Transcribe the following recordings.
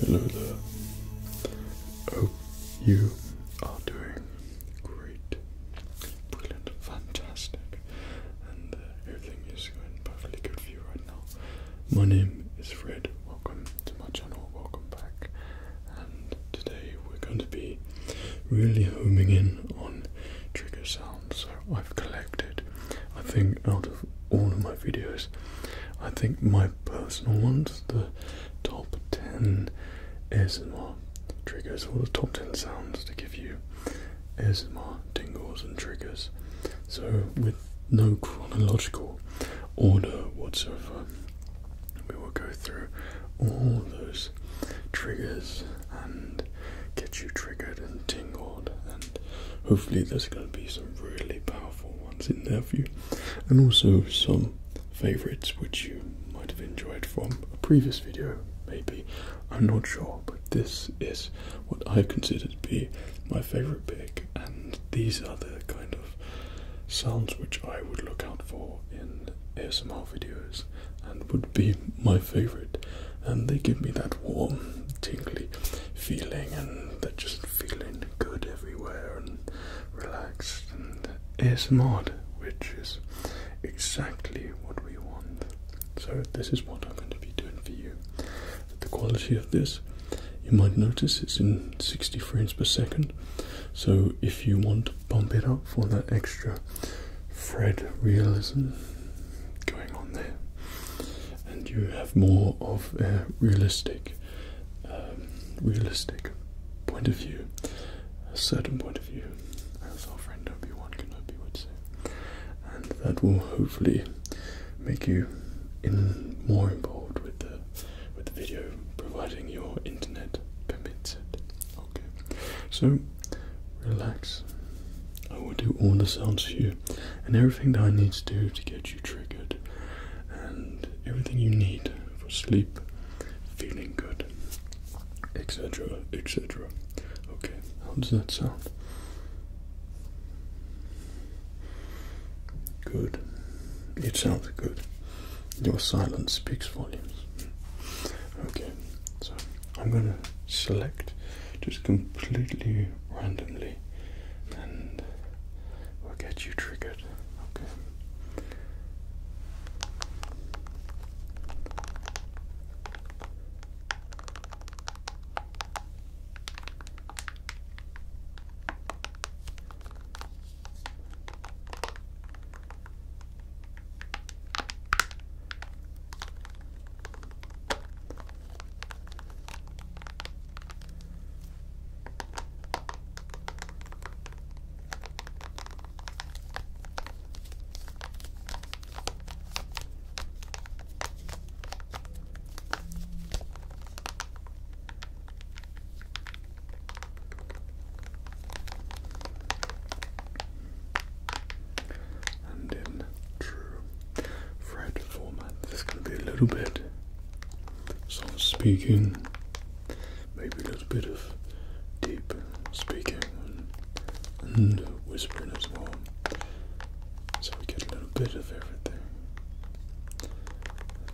Hello there. Oh, you are doing great. Brilliant, fantastic. And uh, everything is going perfectly good for you right now. My name is Fred. Welcome to my channel. Welcome back. And today we're going to be really homing in on trigger sounds answer I've collected. I think out of all of my videos, I think my personal ones, the top 10 ASMR triggers, or the top 10 sounds to give you ASMR tingles and triggers. So, with no chronological order whatsoever, we will go through all those triggers and get you triggered and tingled hopefully there's going to be some really powerful ones in there for you, and also some favorites which you might have enjoyed from a previous video, maybe. I'm not sure, but this is what I consider to be my favorite pick, and these are the kind of sounds which I would look out for in ASMR videos and would be my favorite and they give me that warm, tingly feeling, and they're just feeling good everywhere and relaxed and mod, which is exactly what we want. So this is what I'm going to be doing for you. The quality of this, you might notice, it's in 60 frames per second. So if you want to bump it up for that extra Fred realism going on there, and you have more of a realistic, um, realistic point of view, a certain point of view, as our friend Obi Wan Kenobi would say, and that will hopefully make you in more involved with the with the video, providing your internet permits it. Okay, so relax. I will do all the sounds for you and everything that I need to do to get you triggered and everything you need for sleep, feeling good, etc. etc. Okay, how does that sound? Good. It sounds good. Your silence speaks volumes. Okay, so I'm gonna select just completely randomly and we will get you triggered. Okay. And in true Fred format. This going to be a little bit soft speaking, maybe a little bit of deep speaking and, whispering as well. So we get a little bit of everything.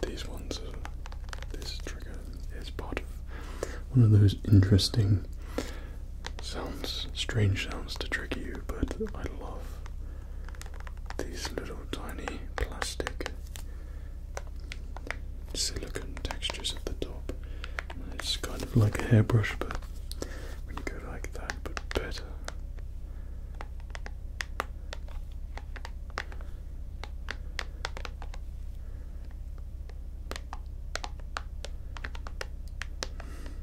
These ones are, this trigger is part of one of those interesting sounds, strange sounds to trigger you, but I love these little tiny plastic silicone textures at the top. It's kind of like a hairbrush, but when you go like that, but better.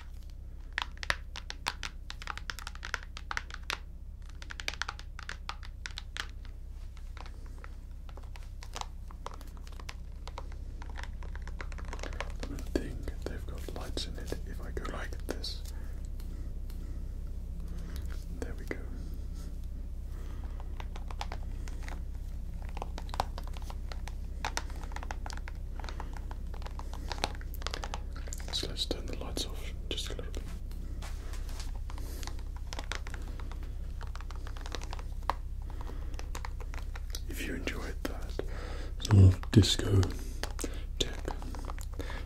I think they've got lights in it if I go like this. There we go. So let's turn the lights off just a little bit. If you enjoyed that sort of disco tech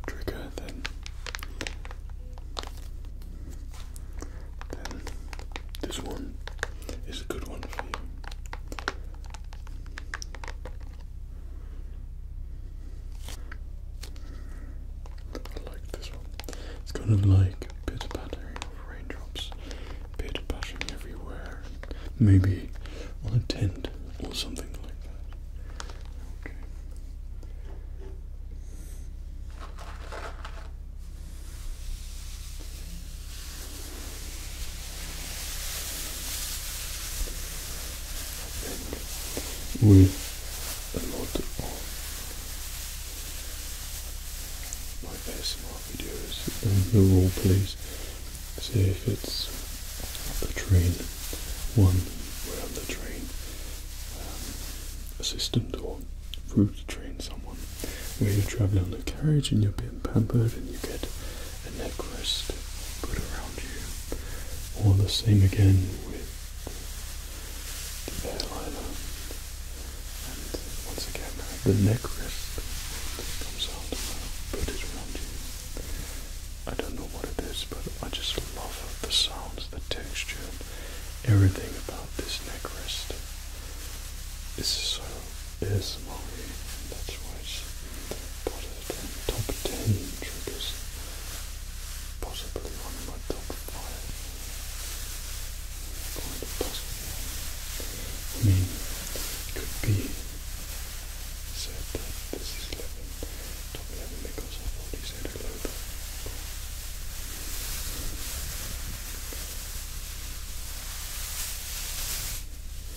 trigger, then this one is a good one I like this one. It's kind of like a bit of raindrops, a bit everywhere, maybe on a tent or something like that with a lot of my ASMR videos and the role plays. So if it's the train one we're on the train um, assistant or through to train someone where you're travelling on the carriage and you're being pampered and you get a neck rest put around you. All the same again with the airliner. And once again, the neck rest comes out put it around you. I don't know what it is, but I just love the sounds, the texture, everything about this neck rest is so ASMR, that's why it's part of top 10 triggers, possibly one of my top 5. Quite possible. I mean, it could be So that this is 11, top 11 because I've already said hello. But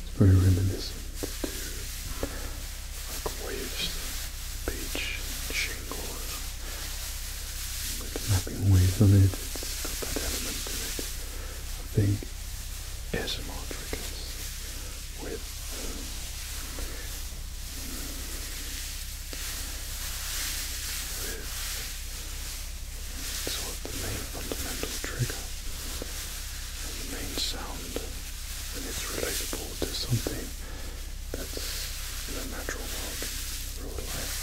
it's very reminiscent to like waves, beach, shingles, with mapping waves on it. It's got that element to it. I think ASMR triggers with. it's what the main fundamental trigger and the main sound, and it's relatable to something that's in the natural world, real life.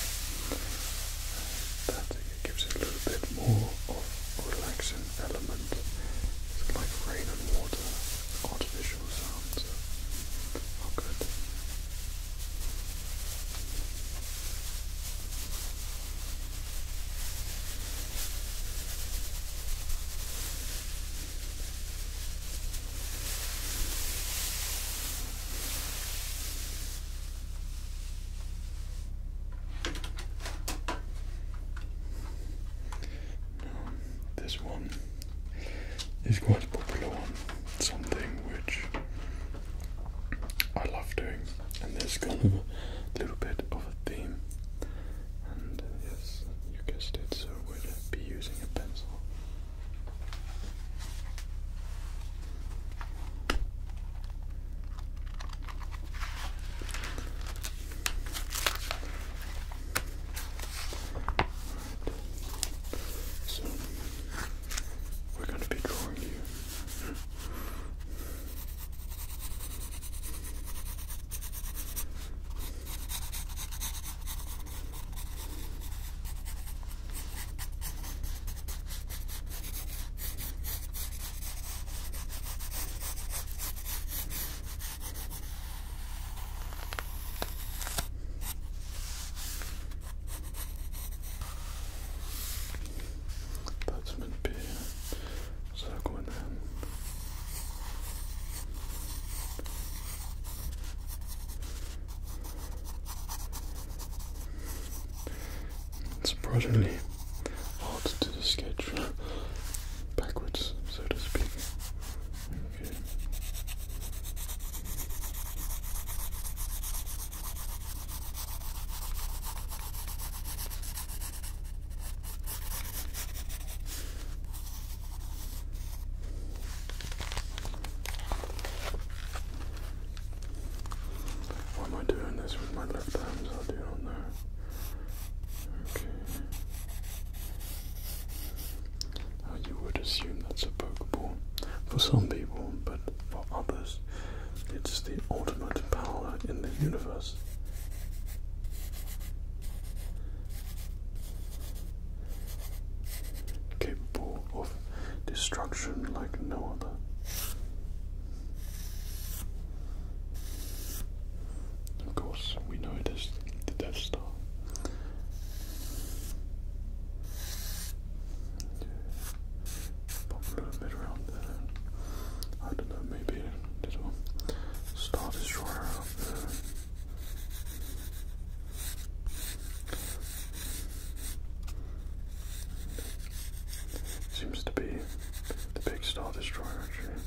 That gives it a little bit more of a relaxing element. It's like rain and water, artificial artificial oh, good. Now, this one is quite popular one. Something which I love doing, and there's kind of a little bit of a theme. And yes, you guessed it, so we'll be using a pencil. So we're going to be drawing here. That's meant to be a circle in hand. Surprisingly to sketch backwards, so to speak. Okay. Why am I doing this with my left hands? I do not know. Okay you would assume that's a Pokeball for some people, but for others, it's the ultimate power in the universe. Capable of destruction like no other. Of course, we know it is the Death Star, Pop a little bit around there. I don't know, maybe this one. Star Destroyer Seems to be the big Star Destroyer, actually.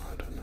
I don't know.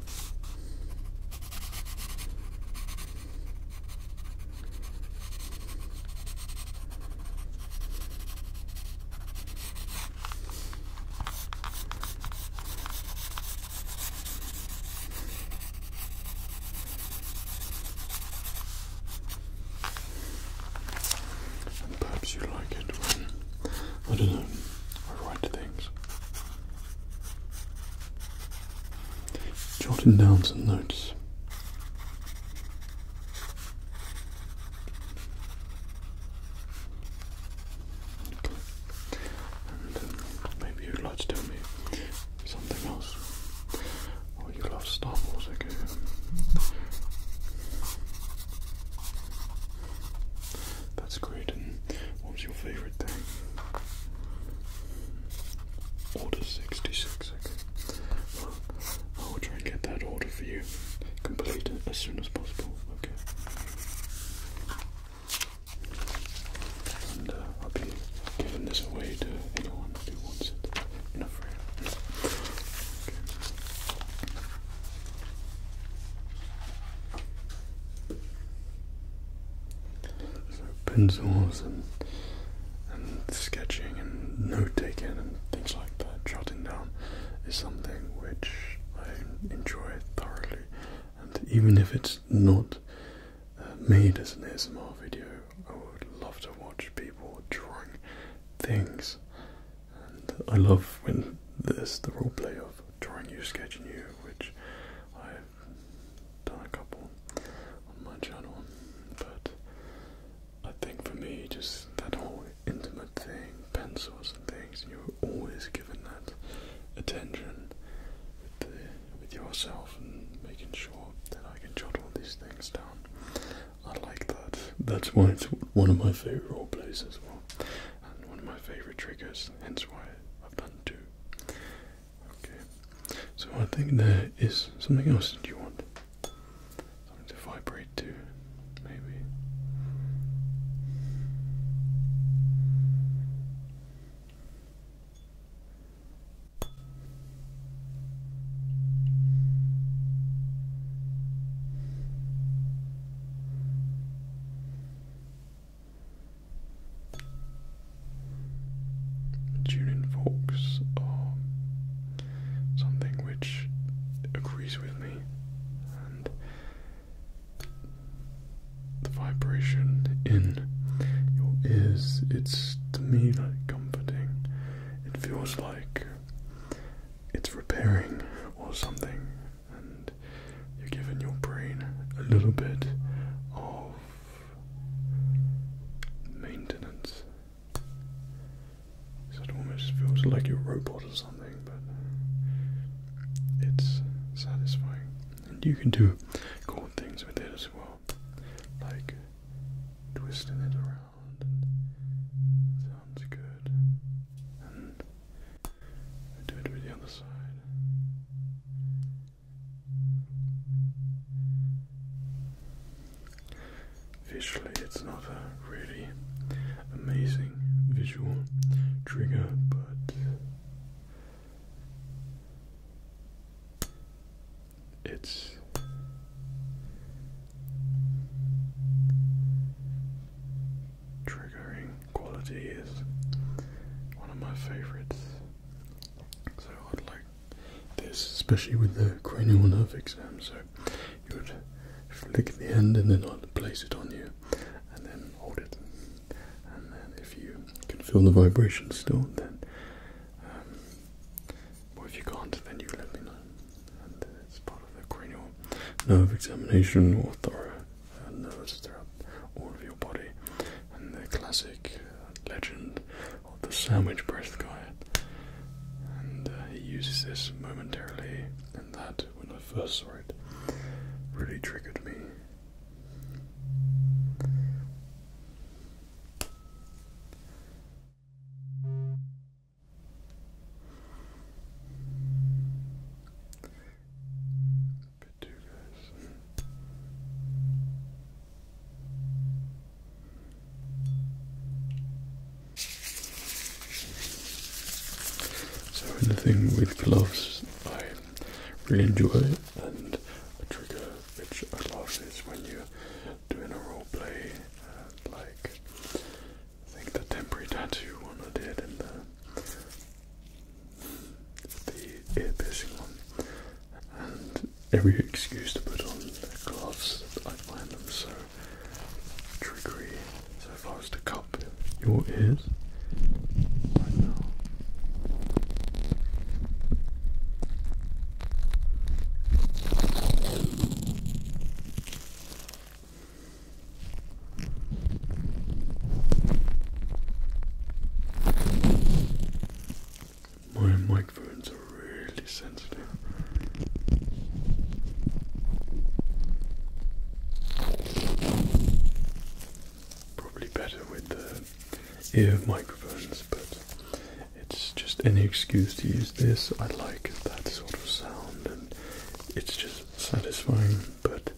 perhaps you like it when I don't know, I write things jotting down some notes. Um, maybe you'd like to tell me something else. Oh, you love Star okay. That's great. And what was your favourite thing? Order 66, I will try and get that order for you complete as soon as possible, okay? And uh, I'll be giving this away to anyone who wants it. You're Okay. So pencils and and sketching and note taking and things like that, jotting down is something which I enjoy thoroughly. And even if it's not uh, made as an ASMR video, I would love to watch people drawing things. And I love when there's the role roleplay of drawing you, sketching you, which I've done a couple on my channel, but I think for me, just that whole intimate thing, pencils and things, you're always given that attention with, yourself and making sure that I can jot all these things down. I like that. That's why it's one of my favorite places, well, and one of my favorite triggers. Hence why I've done Okay. So I think there is something else that you want. Something to vibrate to, maybe. Julian Forks are um, something which agrees with me, and the vibration in your ears, it's to me like comforting. It feels like it's repairing or something and you're giving your brain a little bit of maintenance. So it almost feels like you're a robot or something, but it's satisfying. And you can do cool things with it as well, like twisting it around. sounds good and do it with the other side. Visually, it's not a really amazing visual trigger, but it's triggering quality is one of my favorites. So I'd like this, especially with the cranial nerve exam. So you would flick the end and then i will place it on you and then hold it. And then if you can feel the vibration still, then um, if you can't, then you let me know. And it's part of the cranial nerve examination or thorough nerves throughout all of your body. And the classic legend of the sandwich breast guy. And uh, he uses this momentarily, and that, when I first saw it, really triggered me bit So in with gloves, I really enjoy and a trigger which I love is when you're doing a role play, like I think the temporary tattoo one I did in the the ear piercing one, and every excuse to put on gloves, I find them so trickery. So if I was to cup your ears right now, my microphones are really sensitive. Probably better with the ear microphones, but it's just any excuse to use this. I like that sort of sound, and it's just satisfying but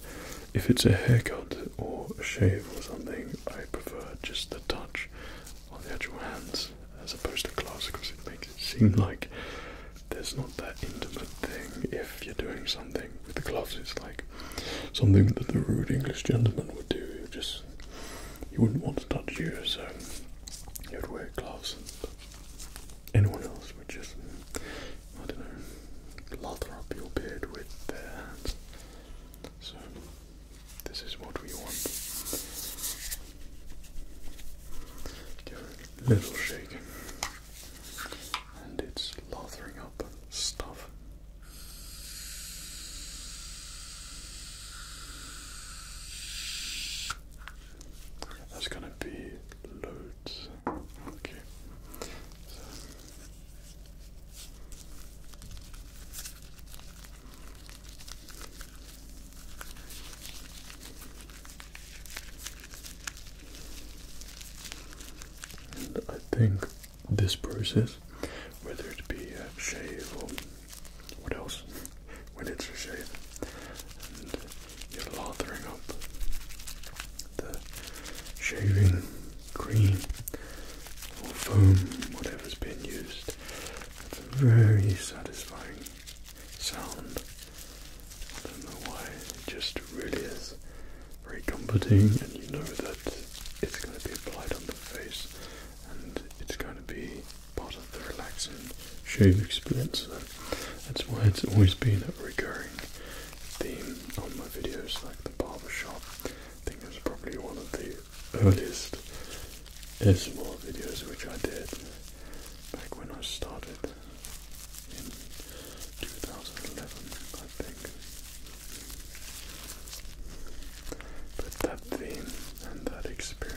if it's a haircut or a shave or something, I prefer just the touch on the actual hands as opposed to gloves because it makes it seem like there's not that intimate thing if you're doing something with the gloves. It's like something that the rude English gentleman would do. You just you wouldn't want to touch you, so you'd wear gloves. anyone else would just I don't know lather up your beard with their hands. So, this is what we want. Give it a little shake, and it's lathering up stuff. That's gonna be loads. Okay. And I think this process, whether it be a shave or what else, when it's a shave, and you're lathering up the shaving cream or foam, whatever's been used. It's a very satisfying sound. I don't know why, it just really is very comforting and you know that it's going to be applied on the face and it's going to be part of the relaxing shave experience. that's why it's always been a recurring theme on my videos like the barber shop I think it was probably one of the earliest ASMR videos which I did back when I started in 2011, I think. But that theme and that experience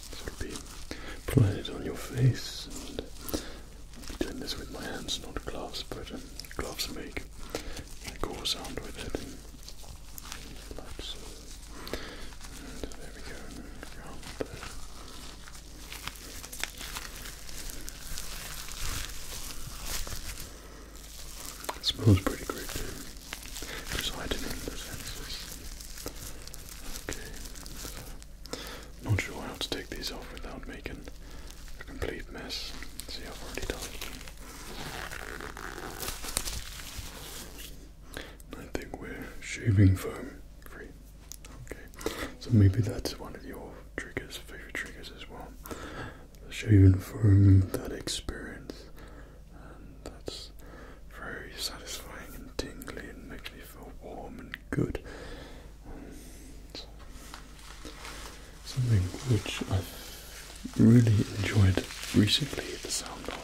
So it'll be applied on your face. I'll be doing this with my hands, not gloves, but um, gloves make a gore sound with it. so. there we go. smells pretty great residing in the census. Okay. Not sure how to take these off without making a complete mess. See, I've already done it. I think we're shaving foam free. Okay, so maybe that's one of your triggers, favorite triggers as well. The shaving foam, that experience and that's very satisfying and tingly and makes me feel warm and good. something which I've really enjoyed recently the sound of.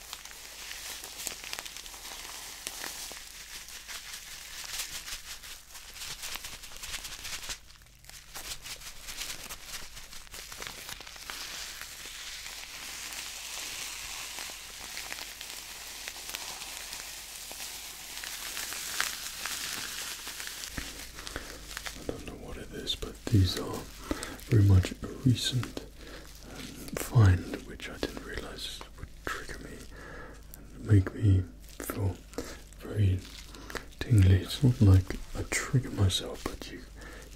I don't know what it is, but these are very much recent um, find, which I didn't realise would trigger me and make me feel very tingly. It's not like I trigger myself, but you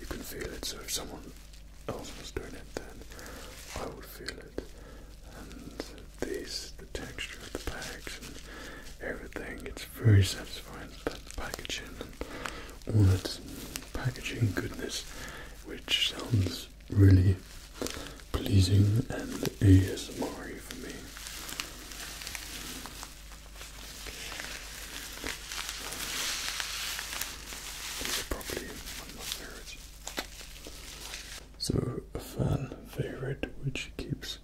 you can feel it. So if someone else was doing it, then I would feel it. And these, the texture of the bags and everything, it's very satisfying. That packaging and all that packaging goodness, which sounds really pleasing and ASMR for me. probably my favorites. So a fan favorite which keeps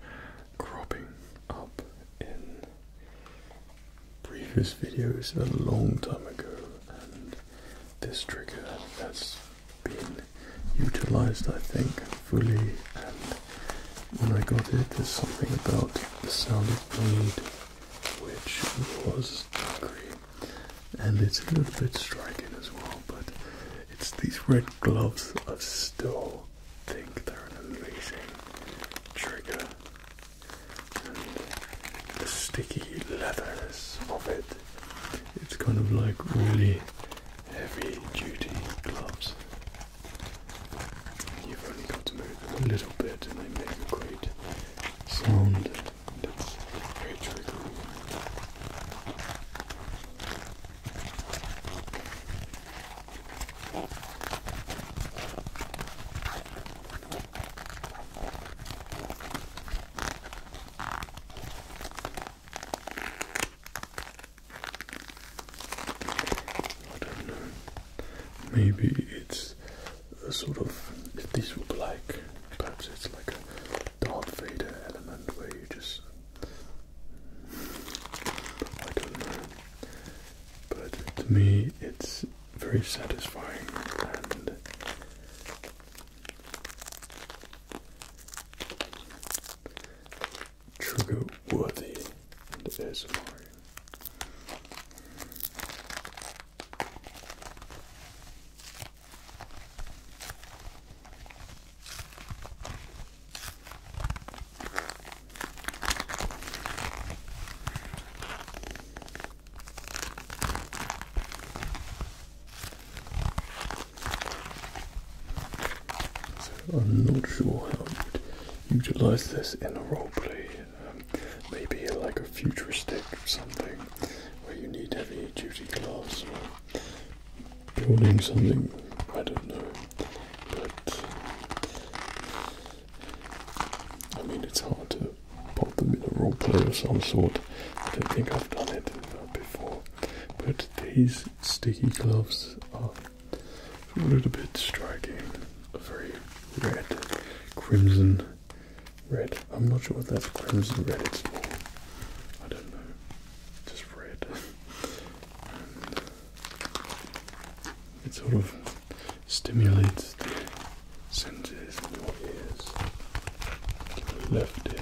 cropping up in previous videos a long time ago and this trigger has been utilized, I think, fully. And when I got it, there's something about the sound of bleed which was angry, and it's a little bit striking as well. But it's these red gloves I still think they're an amazing trigger the sticky leathers of it. It's kind of like really heavy duty gloves. You've only got to move a little bit and they make a great sound that's very triggering. I don't know. Maybe it's a sort of this these be like perhaps it's like a Darth Vader element where you just I don't know. But to me it's very satisfying and Trigger worthy and ASMR. So I'm not sure how to utilize this in a roleplay. Um, maybe like a futuristic or something where you need heavy duty gloves building something, I don't know. But I mean, it's hard to pop a bit of roleplay of some sort. I don't think I've done it before. But these sticky gloves are a little bit striking. A very red, crimson red. I'm not sure if that's crimson red, it's more, I don't know, just red. it sort of stimulates senses in your ears. Your left again,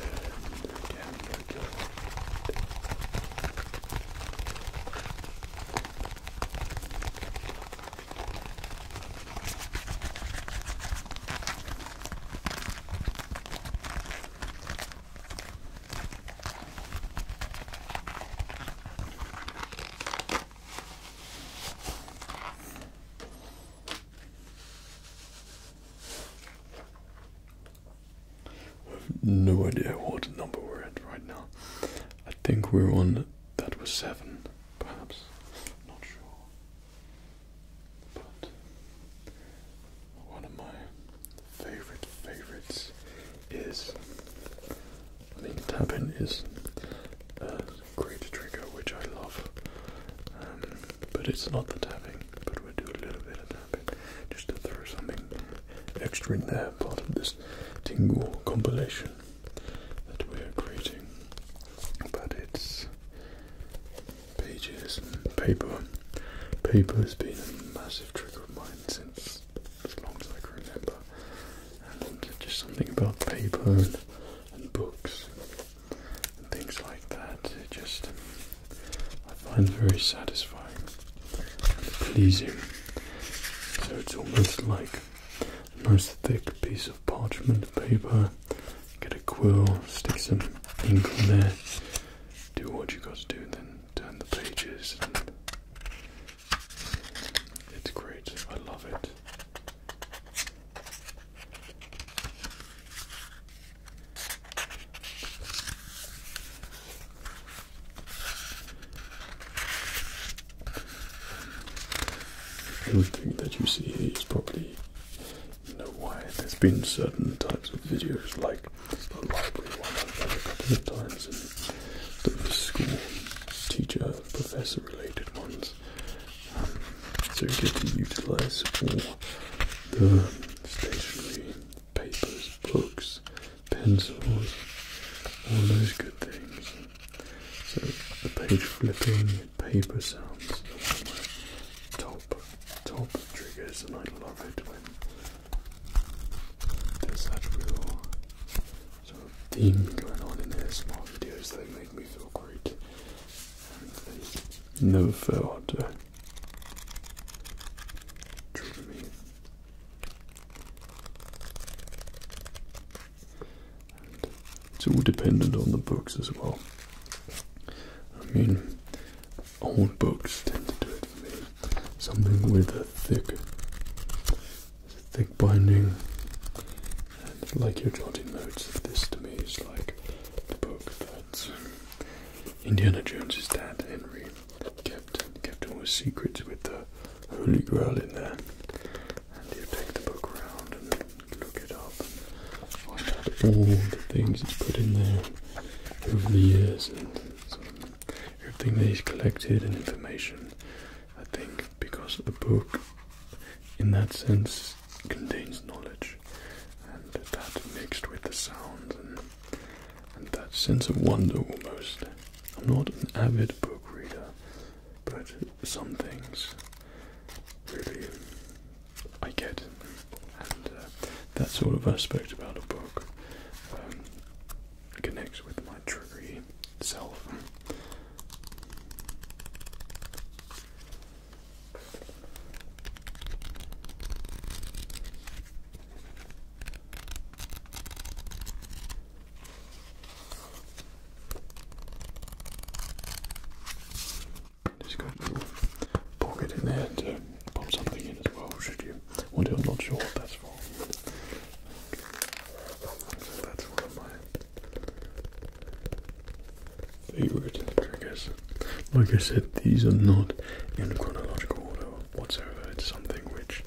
I have no idea what number we're at right now. I think we're on that was seven, perhaps. not sure. But one of my favorite favorites is I mean tapping is a great trigger which I love. Um, but it's not the tapping, but we do a little bit of tapping just to throw something extra in there, part of this tingle compilation that we're creating. But it's pages and paper. Paper has been a massive trick of mine since as long as I can remember. And just something about paper and books and things like that. It just I find very satisfying pleasing. So it's almost like a nice thick piece of parchment paper. Get a quill, stick some ink on there, do what you got to do, then turn the pages. it's great. I love it. Everything that you see here is probably you know why there's been certain types of videos like the library one I've done a couple of times the school teacher professor related ones so you get to utilize all the stationery, papers, books, pencils, all those good things. So the page flipping, paper sounds, top, top triggers, and I love it when there's that real sort of theme going on in ASMR videos. They make me feel great. No fair hunter. True me. it's all dependent on the books as well. I mean, old books tend to do it for me. Something with a thick, thick binding, and like your jotting notes. This to me is like the book Reynolds. Indiana Jones's dad, Henry, kept kept all the secrets with the Holy Grail in there. And you take the book around and look it up and find out all the things he's put in there over the years and everything that he's collected and information. I think because the book in that sense contains knowledge, and that mixed with the sound and, that sense of wonder almost. I'm not an avid book reader, but some things really I get, and uh, that sort of aspect about a book um, connects with my triggery self. Just got a little pocket in there to pop something in as well, should you want to. I'm not sure what that's for. So that's one of favorite triggers. Like I said, these are not in chronological order whatsoever. It's something which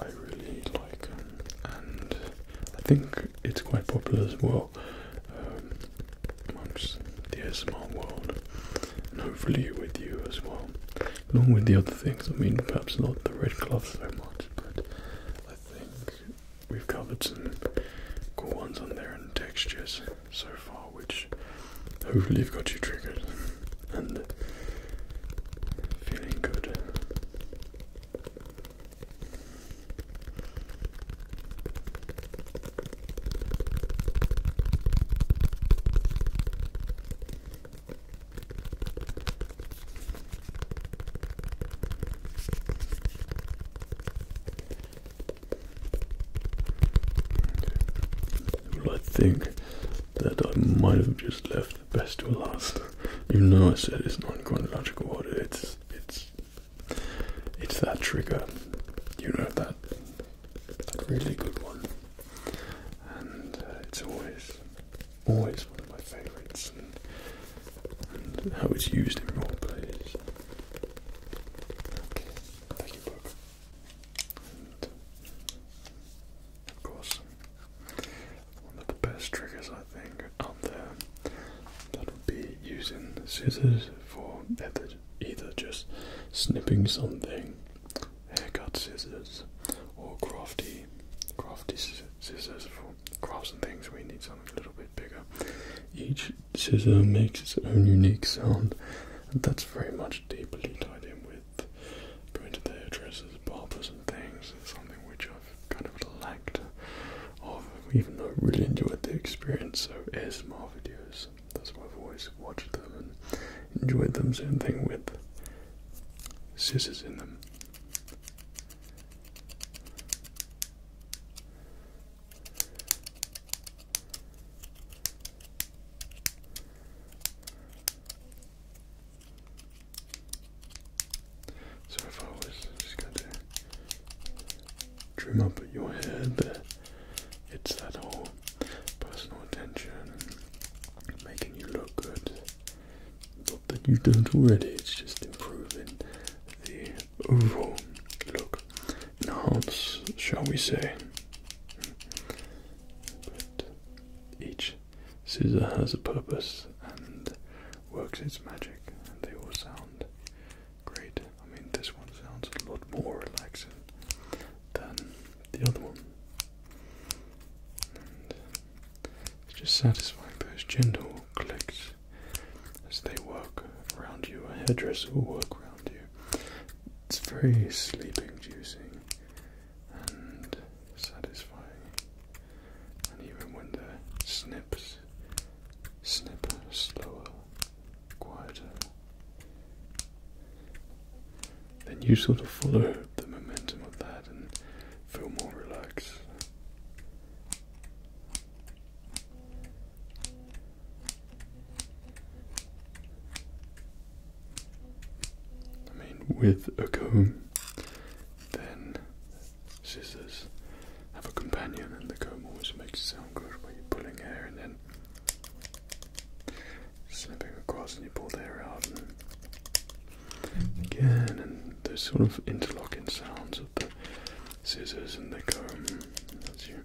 I really like, um, and I think it's quite popular as well um, amongst the ASMR world, and hopefully with you as well, along with the other things. I mean, perhaps not the red gloves so much, but I think we've covered some cool ones on there and textures so far, which hopefully have got you triggered and feeling good. Well, I think that I might have just left the best to last, even though I said it's not in chronological order. It's it's it's that trigger, you know that that really good one, and uh, it's always always one of my favourites, and, how it's used in role plays. Okay. Thank you, of course, one of the best triggers I think out there that would be using scissors for either, either just snipping something, haircut scissors, or crafty, crafty scissors for crafts and things. We need something a little bit bigger. Each scissor makes its own unique sound, and that's very much deeply tied in with going to the hairdressers, barbers, and things. It's something which I've kind of lacked of, even though I really enjoyed the experience. of ASMR videos, that's why I've always watched them and enjoyed them. Same thing with scissors in them. So if I was just going to trim up your head, it's that whole personal attention and making you look good. Not that you don't already, it's just improving the overlook, enhance, shall we say. But each scissor has a purpose and works its magic, and they all sound great. I mean, this one sounds a lot more relaxing than the other one. it's just satisfying those gentle clicks as they work around you. A hairdresser will work around it's very sleep inducing and satisfying. And even when the snips snip slower, quieter, then you sort of follow the momentum of that and feel more relaxed. I mean, with a comb, then scissors have a companion, and the comb always makes it sound good when you're pulling hair and then snipping across, and you pull the hair out, and again, and those sort of interlocking sounds of the scissors and the comb as you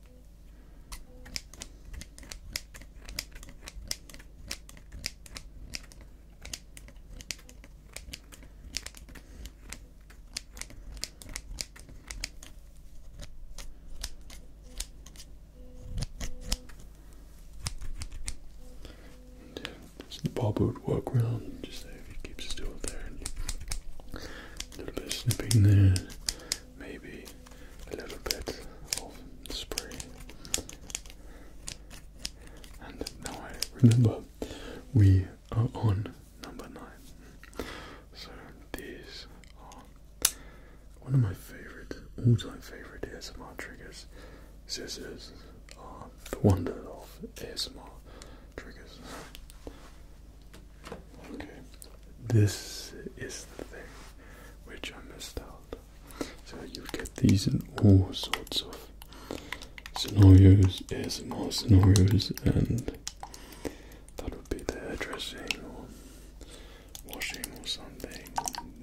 And, the Bob would walk around just there if he keeps still there a little bit of snipping there maybe a little bit of spray. And now I remember we are on number nine. So these are one of my favorite, all-time favorite ASMR triggers. Scissors are the wonder of ASMR triggers. Okay, this is the thing which I missed out. So you get these in all sorts of scenarios, ASMR scenarios, and that would be the dressing or washing or something,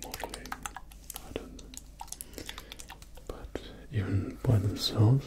modeling, I don't know. But even by themselves,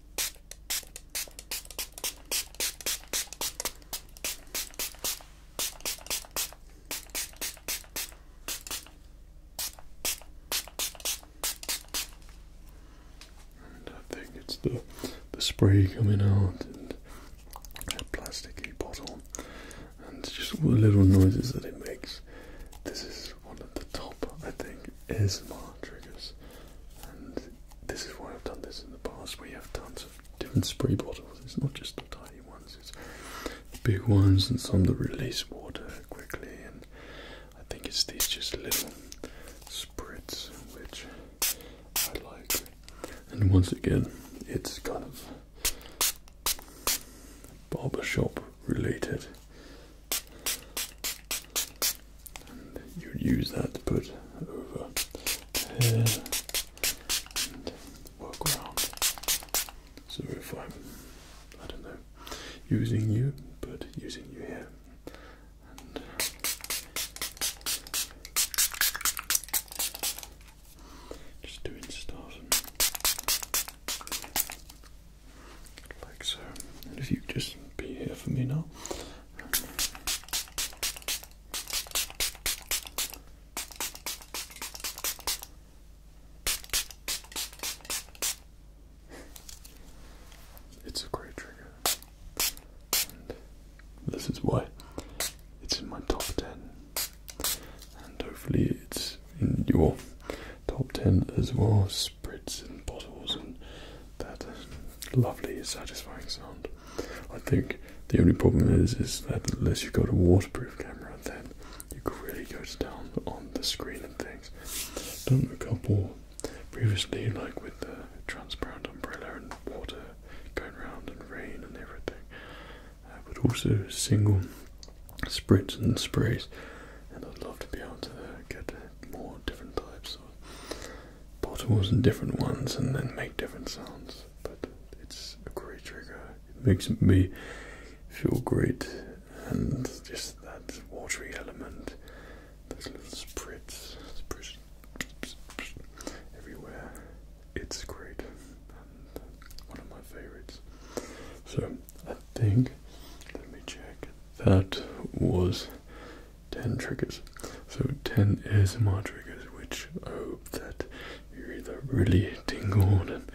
I think it's the the spray coming out and the plasticky bottle and just all the little noises that it makes. This is one of the top I think is my triggers this is why I've done this in the past, We have tons of different spray bottles. It's not just the tiny ones, it's big ones and some that release water quickly. And I think it's these just little spritz which I like. And once again, it's kind of barbershop related you'd use that to put over here and work around. So if I'm, I don't know, using you, but using you here, just doing stuff like so. And if you just be here for me now. It's a great trigger. And this is why it's in my top 10. And hopefully it's in your top 10 as well. Spritz and bottles and that lovely, satisfying sound. I think the only problem is, is that unless you've got a waterproof camera, then you really goes down on the screen and things. Done a couple previously, like with the transparent umbrella and water going around and rain and everything, uh, but also single spritz and sprays. And I'd love to be able to get more different types of bottles and different ones and then make different sounds. But it's a great trigger. It makes me feel great and just that watery element, those little spritz, spritz everywhere. It's great and one of my favorites. So I think, let me check, that was 10 triggers. So 10 is my triggers, which I hope that you either really tingled and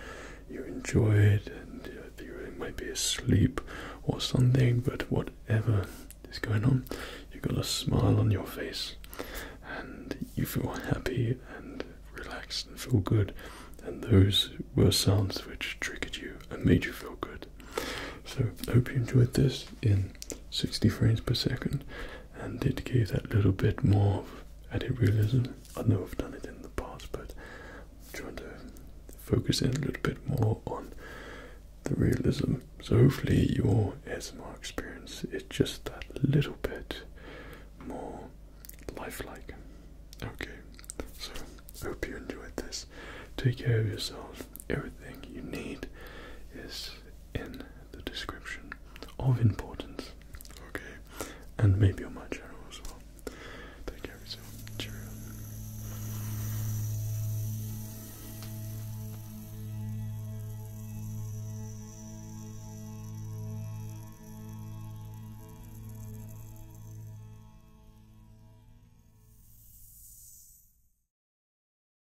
you enjoy it, and you might be asleep or something, but whatever is going on, you got a smile on your face and you feel happy and relaxed and feel good. And those were sounds which triggered you and made you feel good. So hope you enjoyed this in 60 frames per second and did give that little bit more of added realism. I know I've done it in the past, but trying to focus in a little bit more on the realism. So hopefully your ASMR experience is just that little bit more lifelike. Okay, so hope you enjoyed this. Take care of yourself. Everything you need is in the description of importance. Okay? And maybe on my channel as well. Take care of yourself.